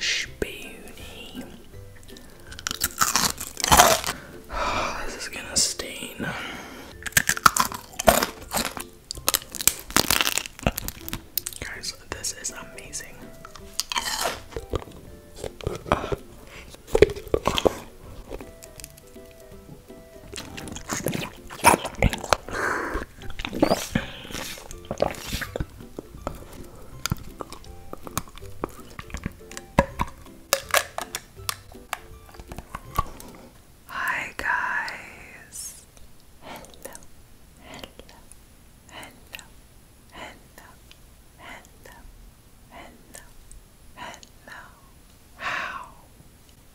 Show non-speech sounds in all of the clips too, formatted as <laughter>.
Spoonie. Oh, this is gonna stain. Guys, this is amazing. Hi, guys hello, hello, hello, hello, hello, hello, hello.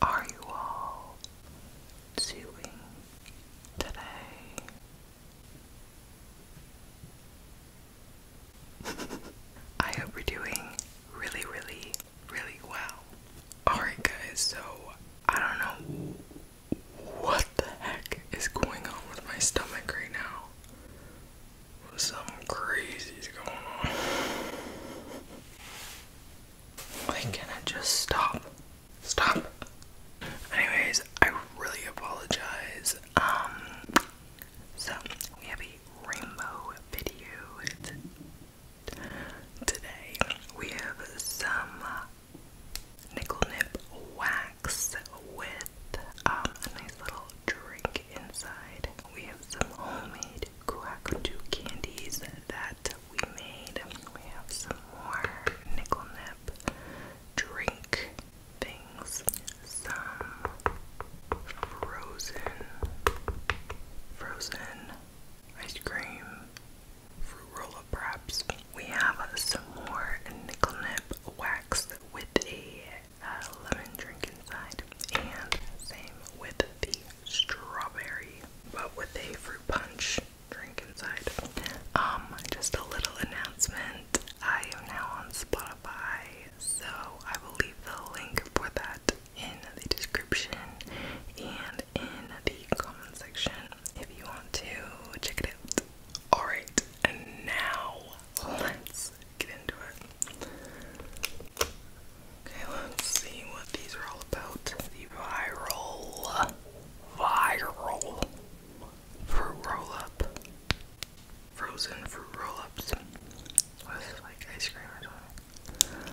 How are you all doing today? <laughs> I hope you're doing really, really, really well. Alright, guys, so I don't know what the heck is going on with my stomach right now? Something crazy is going on. Like, can I just stop? Stop. Anyways, I really apologize. Um, so we have a rainbow video today. We have some Nickel Nip Wax with um, a nice little drink inside. We have some homemade Kuakutu candies that we made. We have some more Nickel Nip drink things. Some frozen, frozen ice cream fruit roll-up We have some more nickel nip wax with a uh, lemon drink inside, and same with the strawberry, but with a fruit punch drink inside. Um, just a little announcement. I am now on Spotify, so I will leave the link for that in the description and in the comment section if you want to check it out. Alright, and now let's get into it. Okay, let's see what these are all about. The viral, viral fruit roll up. Frozen fruit roll ups. What is like ice cream or something?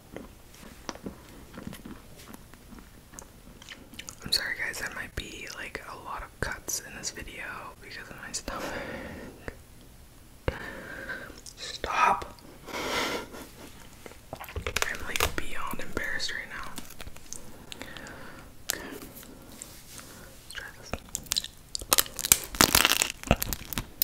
I'm sorry guys, that might be like a lot of cuts in this video because of my stuff. Stop! I'm like beyond embarrassed right now.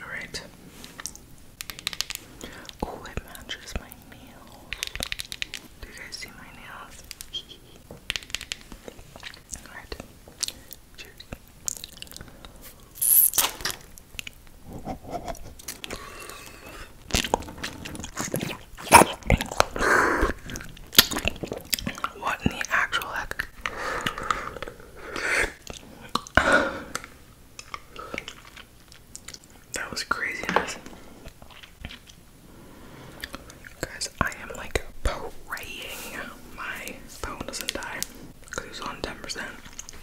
All right. Oh, it matches my nails. Do you guys see my nails? <laughs> All right. Cheers. What in the actual heck? That was craziness. Guys, I am like praying my phone doesn't die because on 10%.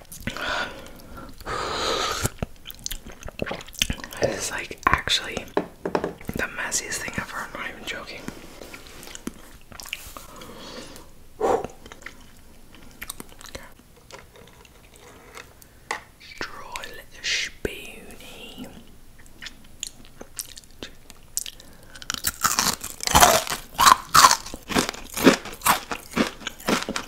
It is like actually the messiest thing ever. I'm not even joking. Okay. Stroll spoony.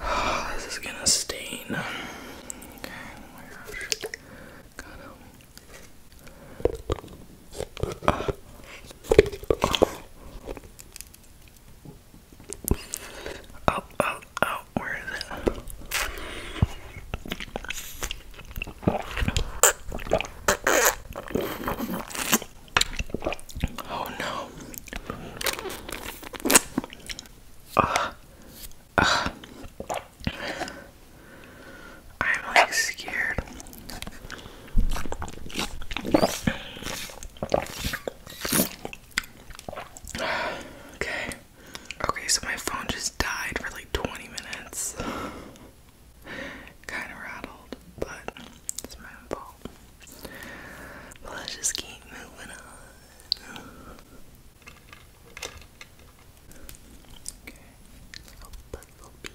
<sighs> this is gonna stain. oh my gosh. Got him. Oh, oh, oh, where is it? Oh no. Uh, uh, I'm like scared. Okay. Okay, so my phone just died for like 20 minutes. <laughs> Kind of rattled, but it's my fault. But let's just keep moving on. Okay, little puzzle piece.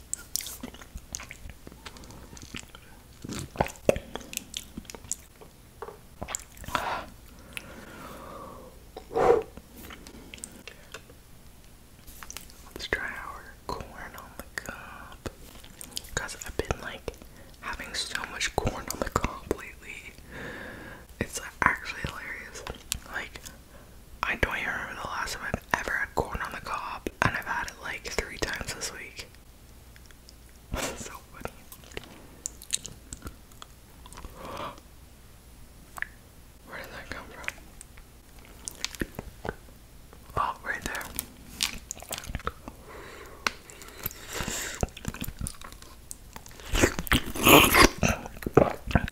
Let's try our corn on the cob. Cause I've been like having so much corn on the cob lately. It's actually hilarious. Like I don't even remember the last time I've ever had corn on the cob, and I've had it like three times this week. <laughs> Where did that come from? Oh, right there.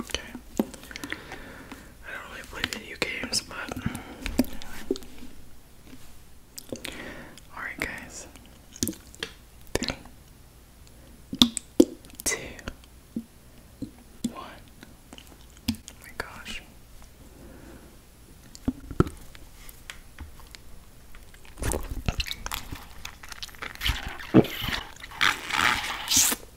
Okay. I don't really play video games, but. Alright, guys. Three, two, one. Oh my gosh.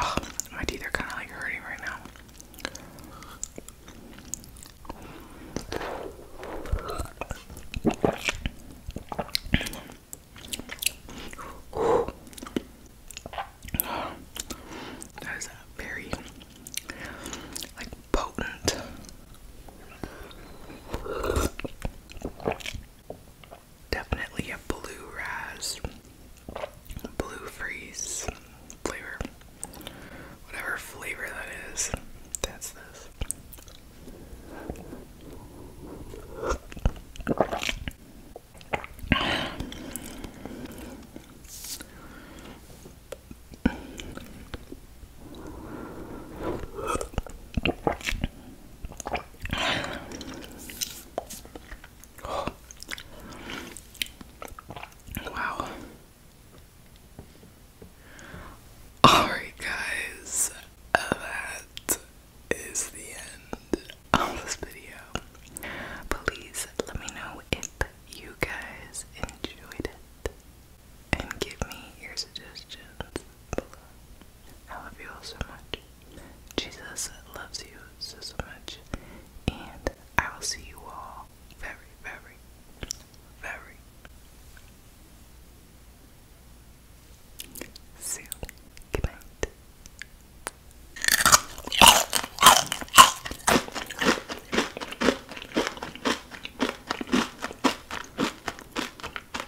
Oh, my teeth are kind of like hurting right now. That is a very like potent definitely a blue raz, blue freeze flavor. Whatever flavor that is, that's this. Oh. Wow. Alright, guys, that is the end of this video. Please let me know if you guys enjoyed it and give me your suggestions below. I love you all so much. Jesus loves you so, so much. And I will see you all very, very, very soon. Good night.